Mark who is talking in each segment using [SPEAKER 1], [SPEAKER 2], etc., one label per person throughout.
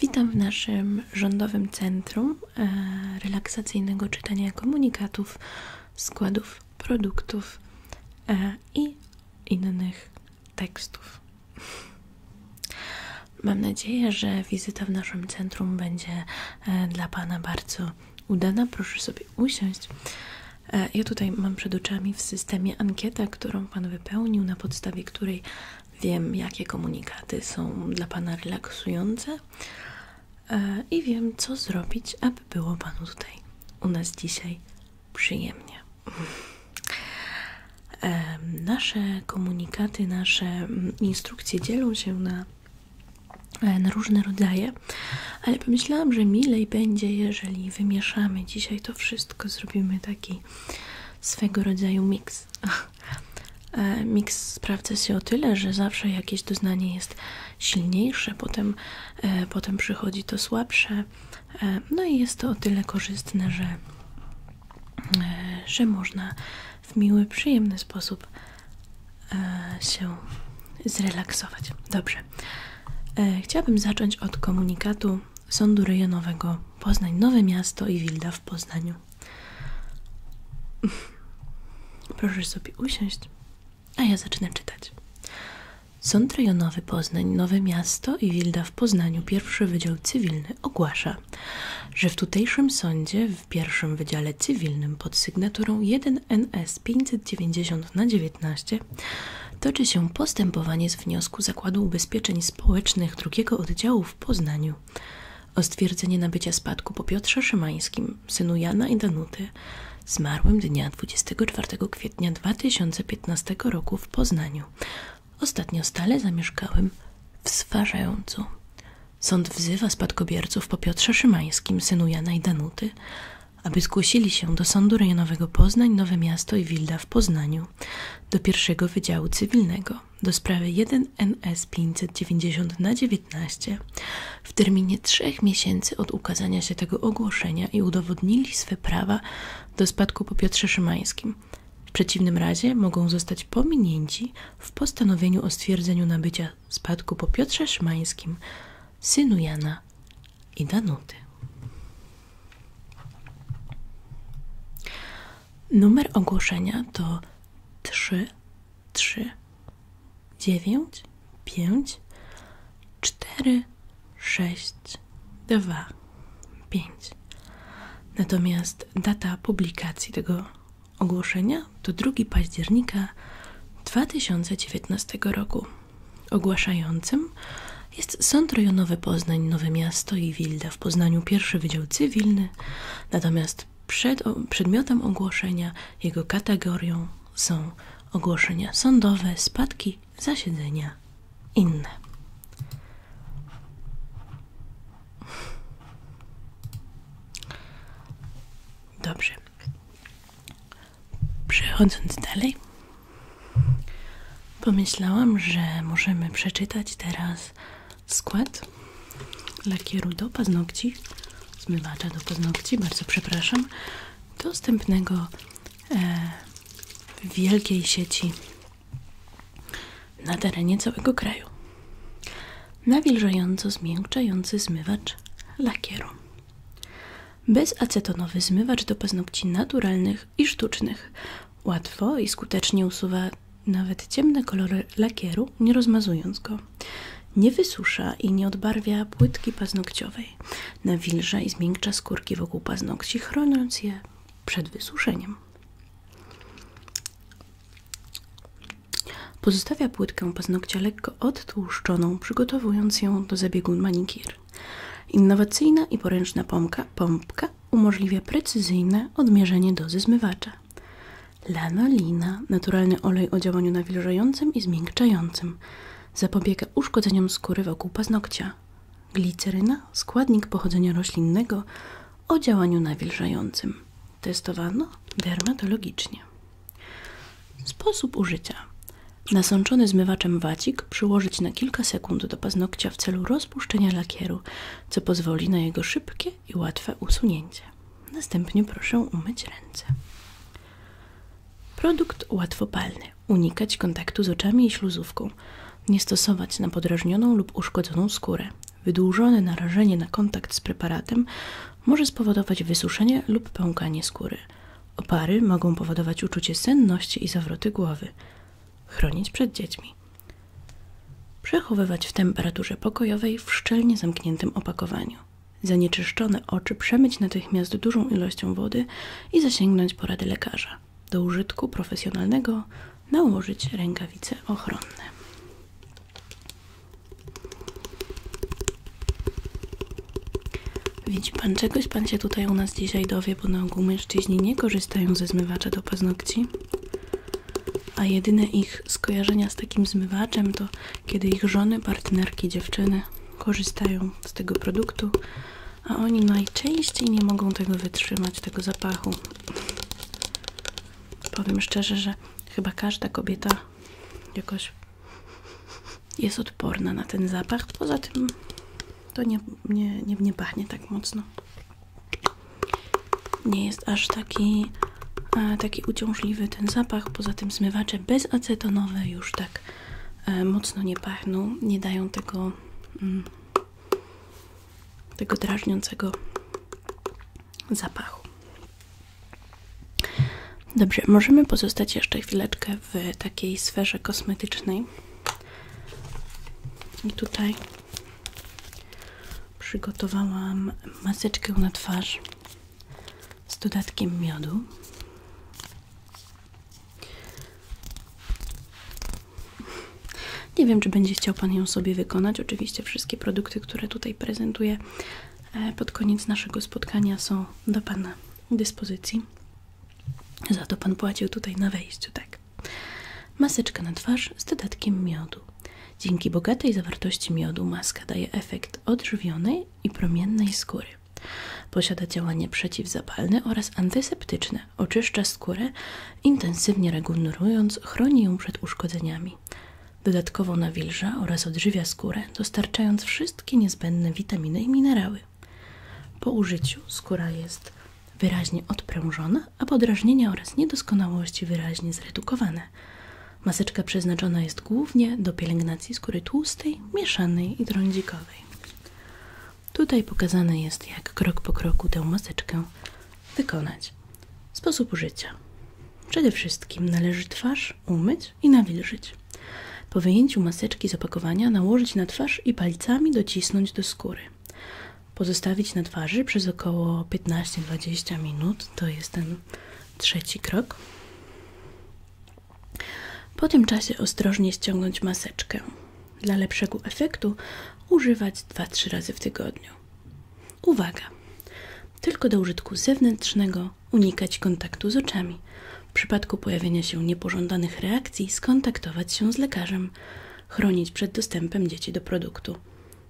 [SPEAKER 1] Witam w naszym Rządowym Centrum e, Relaksacyjnego Czytania Komunikatów, Składów, Produktów e, i innych tekstów. Mam nadzieję, że wizyta w naszym centrum będzie e, dla Pana bardzo udana. Proszę sobie usiąść. Ja tutaj mam przed oczami w systemie ankietę, którą Pan wypełnił, na podstawie której wiem, jakie komunikaty są dla Pana relaksujące e, i wiem, co zrobić, aby było Panu tutaj u nas dzisiaj przyjemnie. E, nasze komunikaty, nasze mm, instrukcje dzielą się e, na, różne rodzaje, ale pomyślałam, że milej będzie, jeżeli wymieszamy dzisiaj to wszystko, zrobimy taki swego rodzaju miks. E, miks sprawdza się o tyle, że zawsze jakieś doznanie jest silniejsze, potem, e, potem przychodzi to słabsze. E, no i jest to o tyle korzystne, że, że można w miły, przyjemny sposób się zrelaksować. Dobrze. Chciałabym zacząć od komunikatu Sądu Rejonowego Poznań Nowe Miasto i Wilda w Poznaniu. Proszę sobie usiąść, a ja zacznę czytać. Sąd Rejonowy Poznań Nowe Miasto i Wilda w Poznaniu Pierwszy Wydział Cywilny ogłasza, że w tutejszym sądzie w pierwszym Wydziale Cywilnym pod sygnaturą 1NS 590 na 19 toczy się postępowanie z wniosku Zakładu Ubezpieczeń Społecznych drugiego oddziału w Poznaniu o stwierdzenie nabycia spadku po Piotrze Szymańskim, synu Jana i Danuty, zmarłym dnia 24 kwietnia 2015 roku w Poznaniu, ostatnio stale zamieszkałym w Swarzającu. Sąd wzywa spadkobierców po Piotrze Szymańskim, synu Jana i Danuty, aby zgłosili się do Sądu Rejonowego Poznań, Nowe Miasto i Wilda w Poznaniu, do pierwszego Wydziału Cywilnego, do sprawy 1NS 590 na 19 w terminie 3 miesięcy od ukazania się tego ogłoszenia i udowodnili swe prawa do spadku po Piotrze Szymańskim. W przeciwnym razie mogą zostać pominięci w postanowieniu o stwierdzeniu nabycia spadku po Piotrze Szymańskim, synu Jana i Danuty. Numer ogłoszenia to 3 3 9 5 4 6 2 5. Natomiast data publikacji tego ogłoszenia to 2 października 2019 roku. Ogłaszającym jest Sąd Rejonowy Poznań Nowe Miasto i Wilda w Poznaniu pierwszy Wydział Cywilny, natomiast przedmiotem ogłoszenia, jego kategorią są ogłoszenia sądowe, spadki, zasiedzenia inne. Dobrze. Przechodząc dalej, pomyślałam, że możemy przeczytać teraz skład lakieru do paznokci, zmywacza do paznokci, bardzo przepraszam, dostępnego w e, wielkiej sieci na terenie całego kraju. Nawilżająco zmiękczający zmywacz lakieru. Bezacetonowy zmywacz do paznokci naturalnych i sztucznych Łatwo i skutecznie usuwa nawet ciemne kolory lakieru, nie rozmazując go. Nie wysusza i nie odbarwia płytki paznokciowej. Nawilża i zmiękcza skórki wokół paznokci, chroniąc je przed wysuszeniem. Pozostawia płytkę paznokcia lekko odtłuszczoną, przygotowując ją do zabiegu manikir. Innowacyjna i poręczna pomka, pompka umożliwia precyzyjne odmierzenie dozy zmywacza. Lanolina, naturalny olej o działaniu nawilżającym i zmiękczającym, zapobiega uszkodzeniom skóry wokół paznokcia. Gliceryna, składnik pochodzenia roślinnego o działaniu nawilżającym. Testowano dermatologicznie. Sposób użycia. Nasączony zmywaczem wacik przyłożyć na kilka sekund do paznokcia w celu Zpuszczenia lakieru, co pozwoli na jego szybkie i łatwe usunięcie. Następnie proszę umyć ręce. Produkt łatwopalny. Unikać kontaktu z oczami i śluzówką. Nie stosować na podrażnioną lub uszkodzoną skórę. Wydłużone narażenie na kontakt z preparatem może spowodować wysuszenie lub pękanie skóry. Opary mogą powodować uczucie senności i zawroty głowy. Chronić przed dziećmi. Przechowywać w temperaturze pokojowej w szczelnie zamkniętym opakowaniu. Zanieczyszczone oczy przemyć natychmiast dużą ilością wody i zasięgnąć porady lekarza. Do użytku profesjonalnego nałożyć rękawice ochronne. Widzi pan, czegoś pan się tutaj u nas dzisiaj dowie, bo na ogół mężczyźni nie korzystają ze zmywacza do paznokci a jedyne ich skojarzenia z takim zmywaczem to kiedy ich żony, partnerki, dziewczyny korzystają z tego produktu, a oni najczęściej nie mogą tego wytrzymać, tego zapachu. Powiem szczerze, że chyba każda kobieta jakoś jest odporna na ten zapach. Poza tym to nie, nie, nie, nie pachnie tak mocno. Nie jest aż taki, e, taki uciążliwy ten zapach. Poza tym zmywacze bezacetonowe już tak e, mocno nie pachną. Nie dają tego, mm, tego drażniącego zapachu. Dobrze, możemy pozostać jeszcze chwileczkę w takiej sferze kosmetycznej. I tutaj Przygotowałam maseczkę na twarz z dodatkiem miodu. Nie wiem, czy będzie chciał Pan ją sobie wykonać. Oczywiście wszystkie produkty, które tutaj prezentuję e, pod koniec naszego spotkania są do Pana dyspozycji. Za to Pan płacił tutaj na wejściu, tak? Maseczka na twarz z dodatkiem miodu. Dzięki bogatej zawartości miodu maska daje efekt odżywionej i promiennej skóry. Posiada działanie przeciwzapalne oraz antyseptyczne. Oczyszcza skórę, intensywnie regenerując, chroni ją przed uszkodzeniami. Dodatkowo nawilża oraz odżywia skórę, dostarczając wszystkie niezbędne witaminy i minerały. Po użyciu skóra jest wyraźnie odprężone, a podrażnienia oraz niedoskonałości wyraźnie zredukowane. Maseczka przeznaczona jest głównie do pielęgnacji skóry tłustej, mieszanej i trądzikowej. Tutaj pokazane jest, jak krok po kroku tę maseczkę wykonać. Sposób użycia. Przede wszystkim należy twarz umyć i nawilżyć. Po wyjęciu maseczki z opakowania nałożyć na twarz i palcami docisnąć do skóry pozostawić na twarzy przez około 15-20 minut. To jest ten trzeci krok. Po tym czasie ostrożnie ściągnąć maseczkę. Dla lepszego efektu używać 2-3 razy w tygodniu. Uwaga! Tylko do użytku zewnętrznego unikać kontaktu z oczami. W przypadku pojawienia się niepożądanych reakcji skontaktować się z lekarzem chronić przed dostępem dzieci do produktu.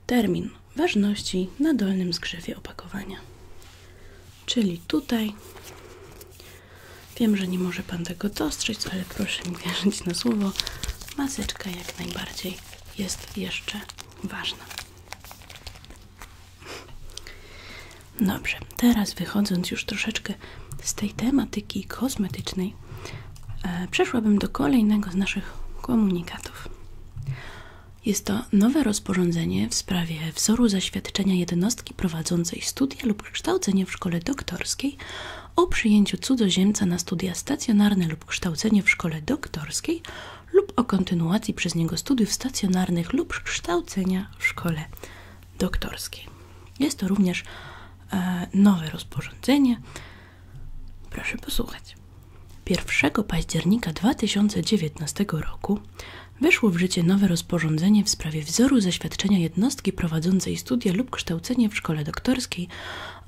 [SPEAKER 1] Termin ważności na dolnym skrzywie opakowania. Czyli tutaj. Wiem, że nie może Pan tego dostrzec, ale proszę mi wierzyć na słowo. Maseczka jak najbardziej jest jeszcze ważna. Dobrze, teraz wychodząc już troszeczkę z tej tematyki kosmetycznej, e, przeszłabym do kolejnego z naszych komunikatów. Jest to nowe rozporządzenie w sprawie wzoru zaświadczenia jednostki prowadzącej studia lub kształcenie w szkole doktorskiej o przyjęciu cudzoziemca na studia stacjonarne lub kształcenie w szkole doktorskiej lub o kontynuacji przez niego studiów stacjonarnych lub kształcenia w szkole doktorskiej. Jest to również E, nowe rozporządzenie. Proszę posłuchać. 1 października 2019 roku weszło w życie nowe rozporządzenie w sprawie wzoru zaświadczenia jednostki prowadzącej studia lub kształcenie w szkole doktorskiej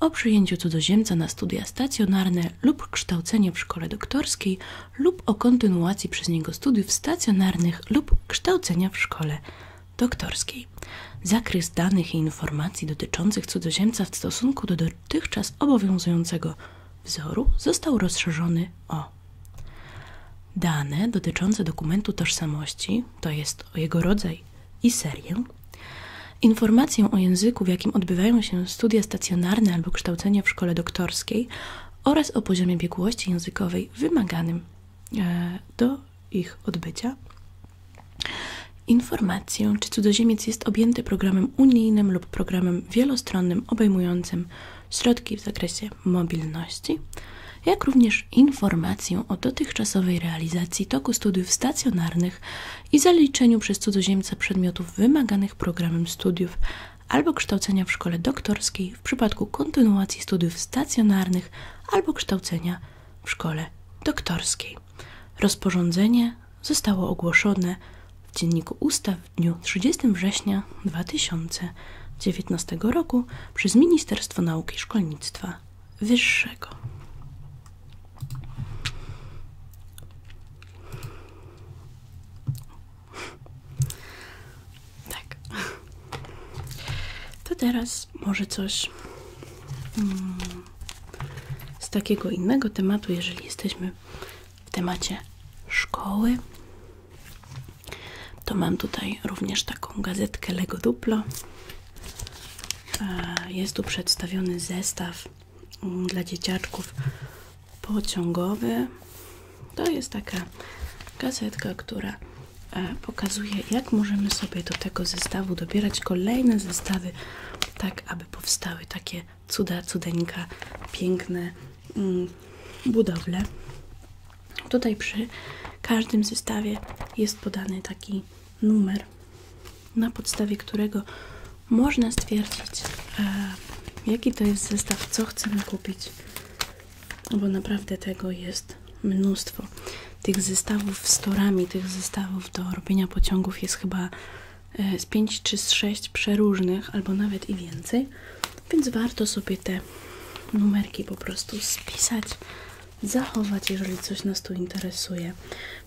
[SPEAKER 1] o przyjęciu cudzoziemca na studia stacjonarne lub kształcenie w szkole doktorskiej lub o kontynuacji przez niego studiów stacjonarnych lub kształcenia w szkole doktorskiej. Zakres danych i informacji dotyczących cudzoziemca w stosunku do dotychczas obowiązującego wzoru został rozszerzony o dane dotyczące dokumentu tożsamości, to jest o jego rodzaj i serię, informację o języku, w jakim odbywają się studia stacjonarne albo kształcenie w szkole doktorskiej oraz o poziomie biegłości językowej wymaganym E, do ich odbycia informację, czy cudzoziemiec jest objęty programem unijnym lub programem wielostronnym obejmującym środki w zakresie mobilności, jak również informację o dotychczasowej realizacji toku studiów stacjonarnych i zaliczeniu przez cudzoziemca przedmiotów wymaganych programem studiów albo kształcenia w szkole doktorskiej w przypadku kontynuacji studiów stacjonarnych albo kształcenia w szkole doktorskiej. Rozporządzenie zostało ogłoszone w Dzienniku Ustaw w dniu 30 września 2019 roku przez Ministerstwo Nauki i Szkolnictwa Wyższego. Tak. To teraz może coś mm, z takiego innego tematu, jeżeli jesteśmy w temacie szkoły, to mam tutaj również taką gazetkę Lego Duplo. E, jest tu przedstawiony zestaw mm, dla dzieciaczków pociągowy. To jest taka gazetka, która E, pokazuje jak możemy sobie do tego zestawu dobierać kolejne zestawy, tak aby powstały takie cuda, cudeńka, piękne mm, budowle. Tutaj przy każdym zestawie jest podany taki numer, na podstawie którego można stwierdzić, e, jaki to jest zestaw, co chcemy kupić, bo naprawdę tego jest mnóstwo. Tych zestawów z torami, tych zestawów do robienia pociągów jest chyba e, z 5 czy z 6 przeróżnych, albo nawet i więcej. Więc warto sobie te numerki po prostu spisać, zachować, jeżeli coś nas tu interesuje.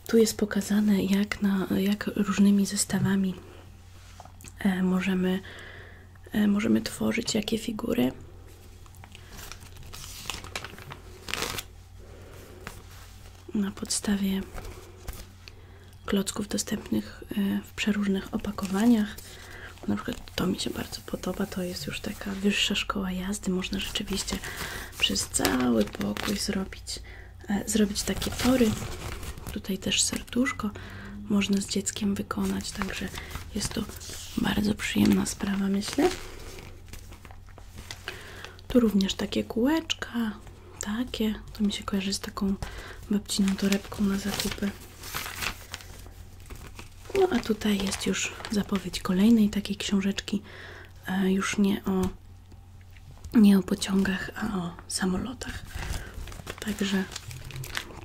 [SPEAKER 1] Tu jest pokazane, jak, na, jak różnymi zestawami e, możemy, e, możemy tworzyć jakie figury na podstawie klocków dostępnych y, w przeróżnych opakowaniach. Na przykład to mi się bardzo podoba, to jest już taka wyższa szkoła jazdy. Można rzeczywiście przez cały pokój zrobić, e, zrobić takie tory. Tutaj też serduszko można z dzieckiem wykonać, także jest to bardzo przyjemna sprawa, myślę. Tu również takie kółeczka, takie. To mi się kojarzy z taką babciną torebką na zakupy. No a tutaj jest już zapowiedź kolejnej takiej książeczki, e, już nie o, nie o pociągach, a o samolotach. Także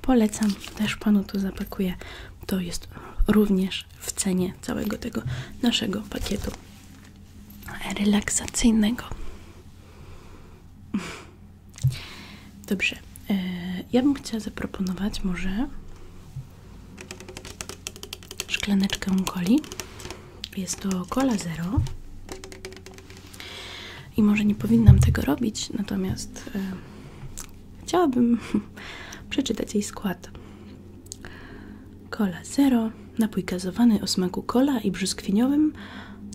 [SPEAKER 1] polecam, też Panu tu zapakuję. To jest również w cenie całego tego naszego pakietu relaksacyjnego. Dobrze, e, ja bym chciała zaproponować może szklaneczkę coli. Jest to cola zero. I może nie powinnam tego robić, natomiast e, Chciałabym przeczytać jej skład. Kola zero, napój gazowany o smaku kola i brzuskwiniowym,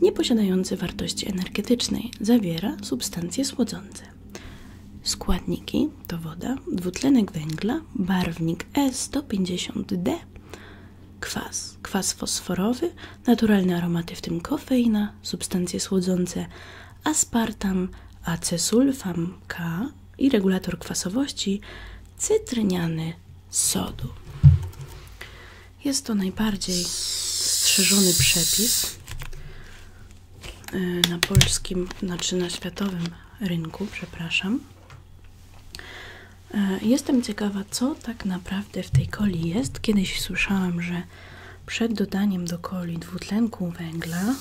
[SPEAKER 1] nieposiadający wartości energetycznej, zawiera substancje słodzące. Składniki to woda, dwutlenek węgla, barwnik E150D, kwas, kwas fosforowy, naturalne aromaty w tym kofeina, substancje słodzące aspartam, acesulfam K, i regulator kwasowości cytryniany sodu. Jest to najbardziej strzeżony przepis y, na polskim, znaczy na światowym rynku, przepraszam. Y, jestem ciekawa, co tak naprawdę w tej koli jest. Kiedyś słyszałam, że przed dodaniem do koli dwutlenku węgla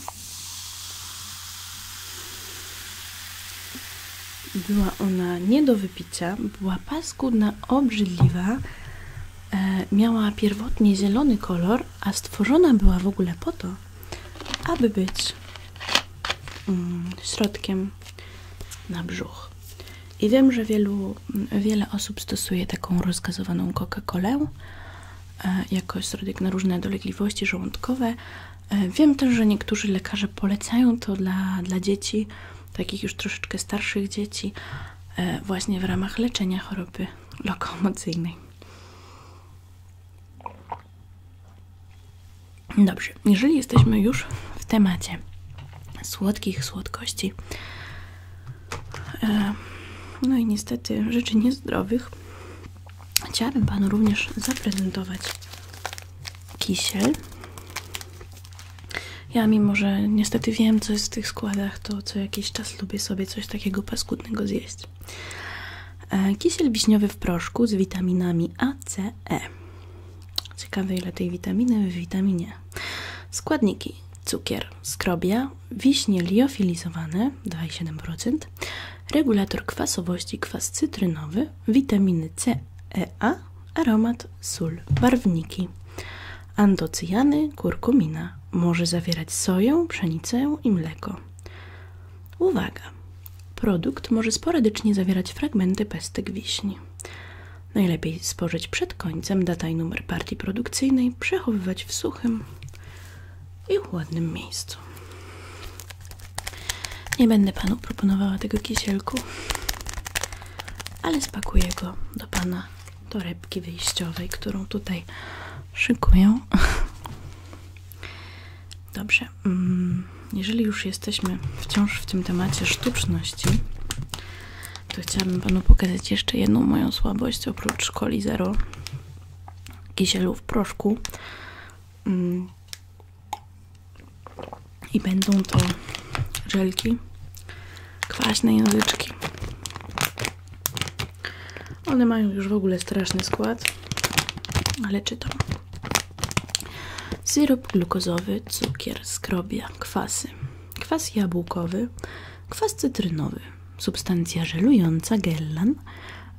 [SPEAKER 1] była ona nie do wypicia, była paskudna, obrzydliwa, e, miała pierwotnie zielony kolor, a stworzona była w ogóle po to, aby być mm, środkiem na brzuch. I wiem, że wielu, wiele osób stosuje taką rozgazowaną Coca-Colę, E, jako środek na różne dolegliwości żołądkowe. E, wiem też, że niektórzy lekarze polecają to dla, dla dzieci, takich już troszeczkę starszych dzieci, e, właśnie w ramach leczenia choroby lokomocyjnej. Dobrze, jeżeli jesteśmy już w temacie słodkich słodkości, no i niestety rzeczy niezdrowych, Chciałabym Panu również zaprezentować kisiel. Ja mimo, że niestety wiem, co jest w tych składach, to co jakiś czas lubię sobie coś takiego paskudnego zjeść. E, kisiel wiśniowy w proszku z witaminami A, C, E. Ciekawe ile tej witaminy w witaminie. Składniki. Cukier, skrobia, wiśnie liofilizowane 2,7%, regulator kwasowości kwas cytrynowy, witaminy C, E, A, aromat, sól, barwniki, antocyjany, kurkumina. Może zawierać soję, pszenicę i mleko. Uwaga! Produkt może sporadycznie zawierać fragmenty pestyk wiśni. Najlepiej spożyć przed końcem data i numer partii produkcyjnej, przechowywać w suchym i ładnym miejscu. Nie będę panu proponowała tego kiesielku, ale spakuję go do pana torebki wyjściowej, którą tutaj szykuję. Dobrze, mm, jeżeli już jesteśmy wciąż w tym temacie sztuczności, to chciałabym Panu pokazać jeszcze jedną moją słabość oprócz Coli kisielu w proszku mm. i będą to żelki kwaśne języczki one mają już w ogóle straszny skład ale czytam syrop glukozowy, cukier, skrobia, kwasy kwas jabłkowy, kwas cytrynowy substancja żelująca, gellan,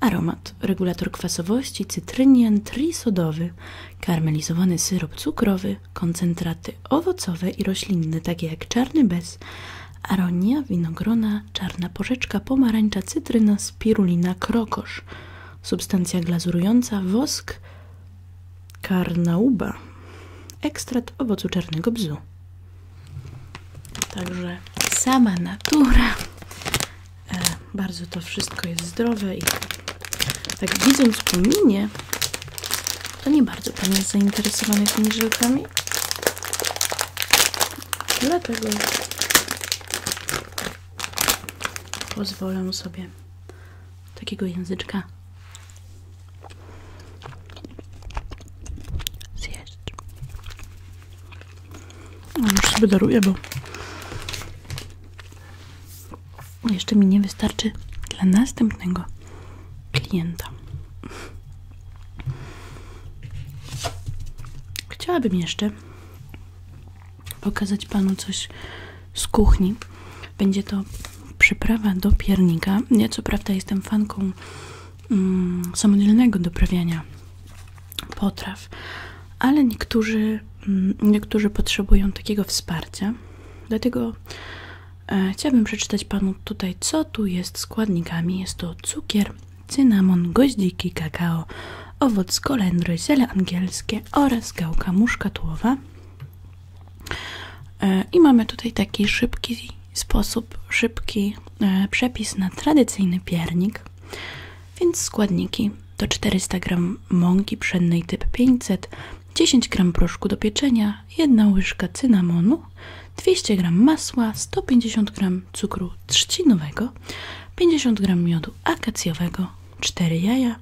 [SPEAKER 1] aromat, regulator kwasowości, cytrynian, trisodowy, karmelizowany syrop cukrowy, koncentraty owocowe i roślinne, takie jak czarny bez, aronia, winogrona, czarna porzeczka, pomarańcza, cytryna, spirulina, krokosz, substancja glazurująca, wosk, karnauba, ekstrakt owocu czarnego bzu. Także sama natura. E, bardzo to wszystko jest zdrowe i tak, tak widząc po minie, to nie bardzo Pan jest zainteresowany tymi żelkami. Dlatego pozwolę sobie takiego języczka zjeść. No już sobie daruję, bo jeszcze mi nie wystarczy dla następnego klienta. Chciałabym jeszcze pokazać Panu coś z kuchni. Będzie to przyprawa do piernika. Ja co prawda jestem fanką Mm, samodzielnego doprawiania potraw, ale niektórzy, mm, niektórzy potrzebują takiego wsparcia. Dlatego e, chciałabym przeczytać Panu tutaj, co tu jest składnikami. Jest to cukier, cynamon, goździki, kakao, owoc kolendry, ziele angielskie oraz gałka muszkatłowa. E, I mamy tutaj taki szybki sposób szybki e, przepis na tradycyjny piernik, więc składniki to 400 g mąki pszennej typ 500, 10 g proszku do pieczenia, 1 łyżka cynamonu, 200 g masła, 150 g cukru trzcinowego, 50 g miodu akacjowego, 4 jaja,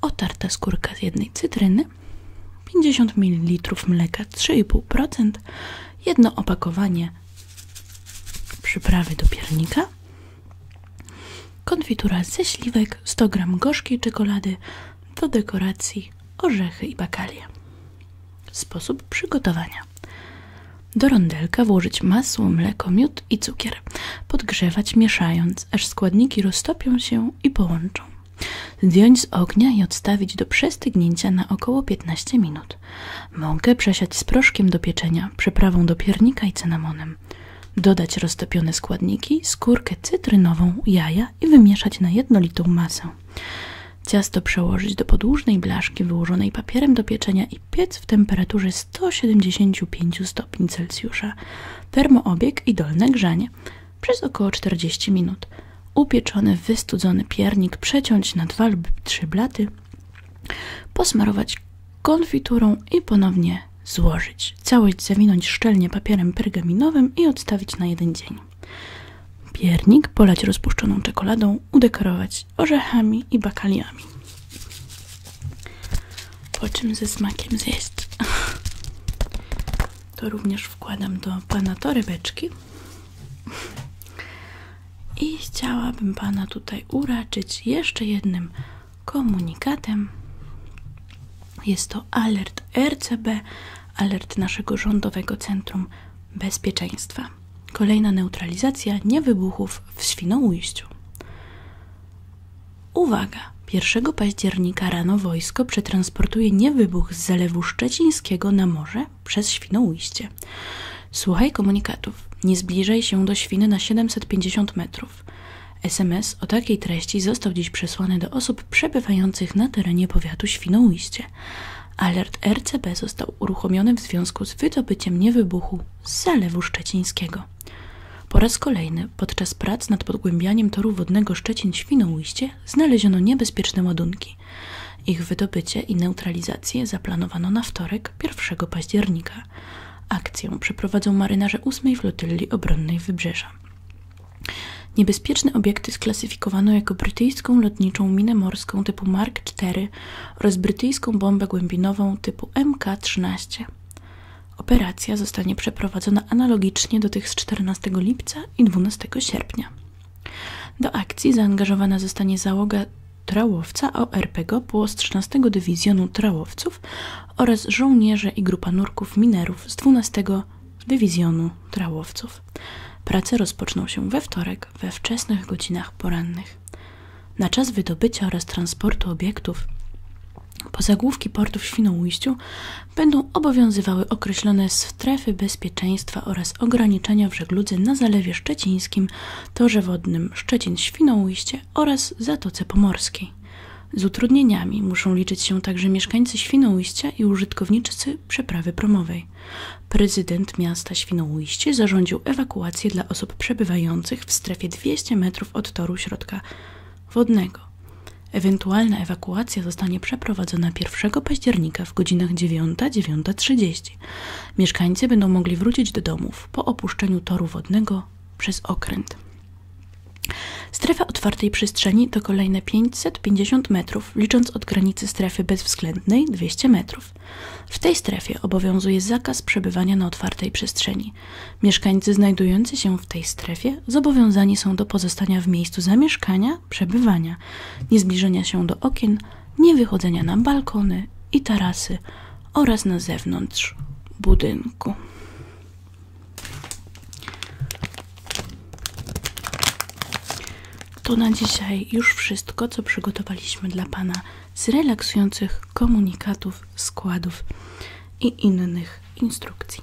[SPEAKER 1] otarta skórka z jednej cytryny, 50 ml mleka 3,5%, jedno opakowanie przyprawy do piernika, konfitura ze śliwek, 100 g gorzkiej czekolady, do dekoracji orzechy i bakalie. Sposób przygotowania. Do rondelka włożyć masło, mleko, miód i cukier. Podgrzewać mieszając, aż składniki roztopią się i połączą. Zdjąć z ognia i odstawić do przestygnięcia na około 15 minut. Mąkę przesiać z proszkiem do pieczenia, przyprawą do piernika i cynamonem. Dodać roztopione składniki, skórkę cytrynową, jaja i wymieszać na jednolitą masę. Ciasto przełożyć do podłużnej blaszki wyłożonej papierem do pieczenia i piec w temperaturze 175 stopni Termoobieg i dolne grzanie przez około 40 minut upieczony, wystudzony piernik przeciąć na dwa lub trzy blaty, posmarować konfiturą i ponownie złożyć. Całość zawinąć szczelnie papierem pergaminowym i odstawić na jeden dzień. Piernik polać rozpuszczoną czekoladą, udekorować orzechami i bakaliami. Po czym ze smakiem zjeść. To również wkładam do pana torebeczki i chciałabym Pana tutaj uraczyć jeszcze jednym komunikatem. Jest to alert RCB, alert naszego Rządowego Centrum Bezpieczeństwa. Kolejna neutralizacja niewybuchów w Świnoujściu. Uwaga! 1 października rano wojsko przetransportuje niewybuch z zalewu szczecińskiego na morze przez Świnoujście. Słuchaj komunikatów. Nie zbliżaj się do świny na 750 metrów. SMS o takiej treści został dziś przesłany do osób przebywających na terenie powiatu Świnoujście. Alert RCB został uruchomiony w związku z wydobyciem niewybuchu z Zalewu Szczecińskiego. Po raz kolejny podczas prac nad podgłębianiem toru wodnego Szczecin-Świnoujście znaleziono niebezpieczne ładunki. Ich wydobycie i neutralizację zaplanowano na wtorek 1 października. Akcję przeprowadzą marynarze 8 Flotyli Obronnej Wybrzeża. Niebezpieczne obiekty sklasyfikowano jako brytyjską lotniczą minę morską typu Mark IV oraz brytyjską bombę głębinową typu MK-13. Operacja zostanie przeprowadzona analogicznie do tych z 14 lipca i 12 sierpnia. Do akcji zaangażowana zostanie załoga trałowca ORPG Płostrznanego 13 Dywizjonu Trałowców oraz żołnierze i grupa nurków minerów z 12 Dywizjonu Trałowców. Prace rozpoczną się we wtorek we wczesnych godzinach porannych. Na czas wydobycia oraz transportu obiektów po zagłówki portu w Świnoujściu będą obowiązywały określone strefy bezpieczeństwa oraz ograniczenia w żegludze na Zalewie Szczecińskim, Torze Wodnym Szczecin-Świnoujście oraz Zatoce Pomorskiej. Z utrudnieniami muszą liczyć się także mieszkańcy Świnoujścia i użytkownicy przeprawy promowej. Prezydent miasta Świnoujście zarządził ewakuację dla osób przebywających w strefie 200 metrów od toru środka wodnego. Ewentualna ewakuacja zostanie przeprowadzona 1 października w godzinach 9-9.30. Mieszkańcy będą mogli wrócić do domów po opuszczeniu toru wodnego przez okręt. Strefa otwartej przestrzeni to kolejne 550 metrów, licząc od granicy strefy bezwzględnej 200 metrów. W tej strefie obowiązuje zakaz przebywania na otwartej przestrzeni. Mieszkańcy znajdujący się w tej strefie zobowiązani są do pozostania w miejscu zamieszkania, przebywania, niezbliżenia się do okien, nie wychodzenia na balkony i tarasy oraz na zewnątrz budynku. To na dzisiaj już wszystko, co przygotowaliśmy dla Pana z relaksujących komunikatów, składów i innych instrukcji.